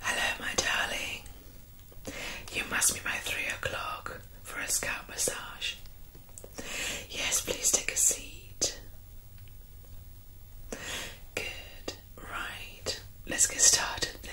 Hello, my darling. You must be my three o'clock for a scalp massage. Yes, please take a seat. Good. Right. Let's get started then.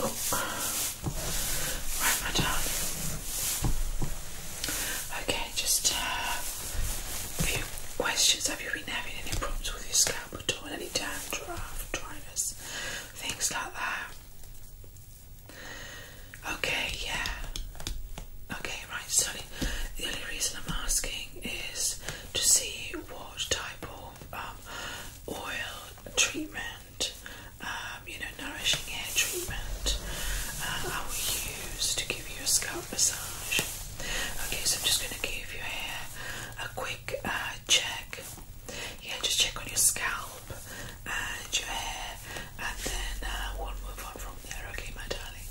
Right, my darling. Okay, just uh, a few questions. Have you been having any problems with your scalp at all? Any dandruff, dryness, things like that? Okay, yeah. Okay, right, so the only reason I'm asking is to see what type of um, oil treatment, um, you know, nourishing hair treatment uh, I will use to give you a scalp massage. Okay, so I'm just going to give your hair a quick uh, check. Yeah, just check on your scalp and your hair, and then uh, we'll move on from there, okay, my darling?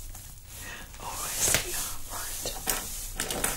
Or is the right?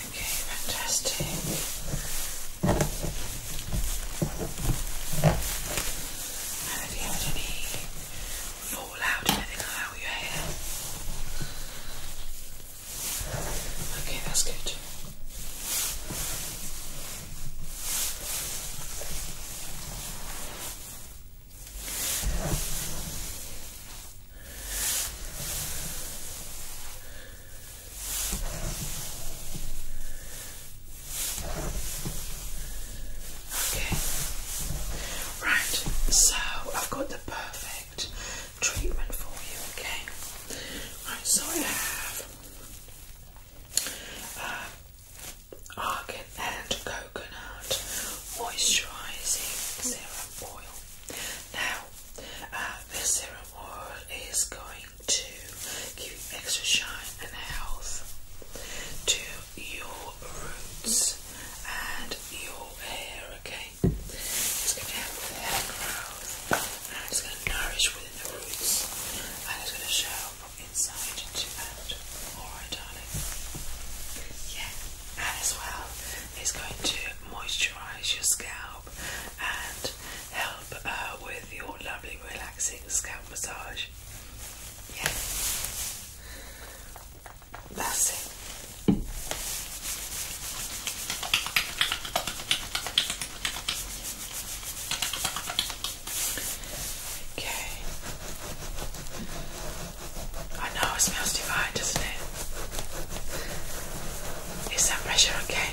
Okay, fantastic. have you had any fallout or anything hair? Okay, that's good. Okay. Right, so I've got the perfect treatment for you, okay? Right, so I have uh, argan and coconut moisturising serum oil. Now, uh, this serum oil is going to give extra shine and health to your roots and your hair, okay? It's going to help with hair growth and it's going to nourish within the roots and it's going to show from inside to out. Alright, darling? Yeah, and as well, it's going to moisturise your scalp and help uh, with your lovely relaxing scalp massage. Yeah. That's it. Okay. I know it smells divine, doesn't it? Is that pressure okay?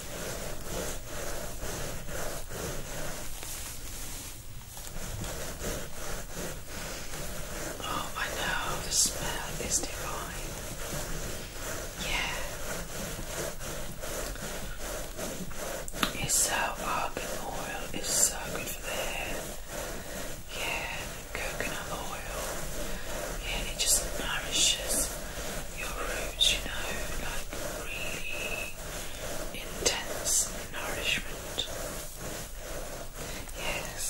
Oh, I know the smell is divine. Yeah, it's so argan uh, oil is so good for the hair. Yeah, coconut oil. Yeah, it just nourishes your roots, you know, like really intense nourishment. Yes,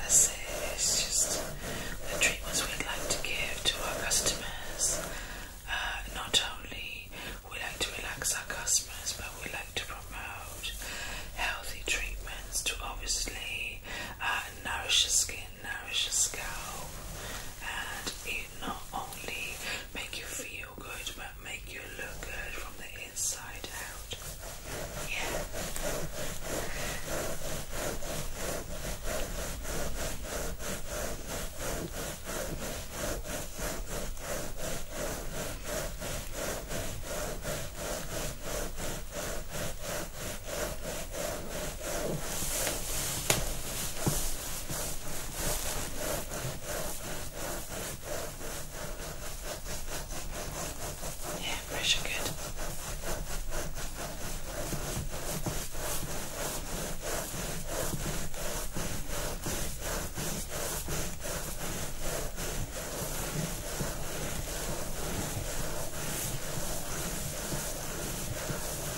that's it. It's just the treatments we'd like to give to our customers. Uh, not only we like to relax our customers, but we like to promote healthy treatments to obviously uh, nourish the skin nourish your scalp and it not only make you feel good but make you look good from the inside out. Yeah. Yeah, pressure good.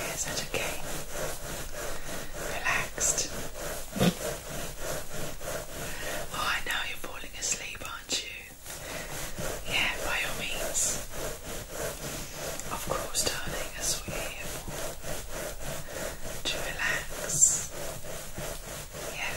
Yes, that's okay. Relaxed. Oh, I know you're falling asleep, aren't you? yeah, by all means. Of course, darling, that's what are here for. To relax. Yeah.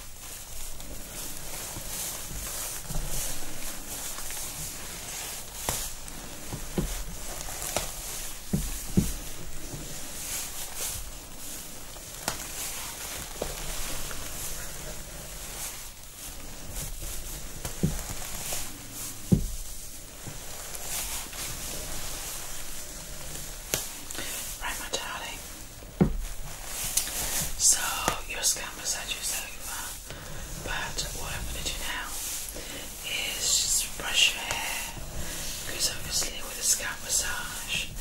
Right, my darling, so your scalp massage is over, but what I'm gonna do now is just brush your hair because obviously with a scalp massage,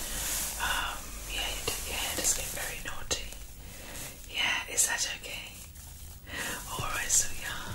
um, yeah, your hair does get very naughty. Yeah, is that okay? Alright, so yeah.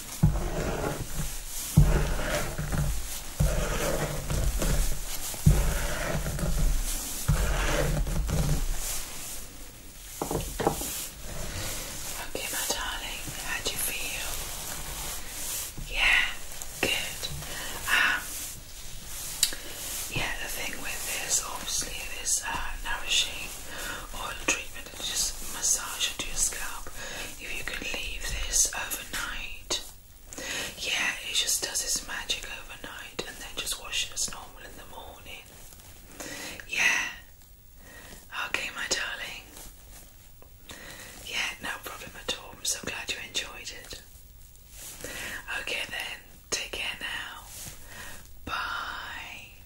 Okay, my darling, how do you feel? Yeah, good. Um, yeah, the thing with this, obviously, this uh, nourishing oil treatment just massage into your scalp. If you could leave this overnight, yeah, it just does its magic overnight and then just wash it as normal in the morning. Yeah, okay, my darling. Yeah, no problem at all. I'm so glad you enjoyed it. Okay, then, take care now. Bye.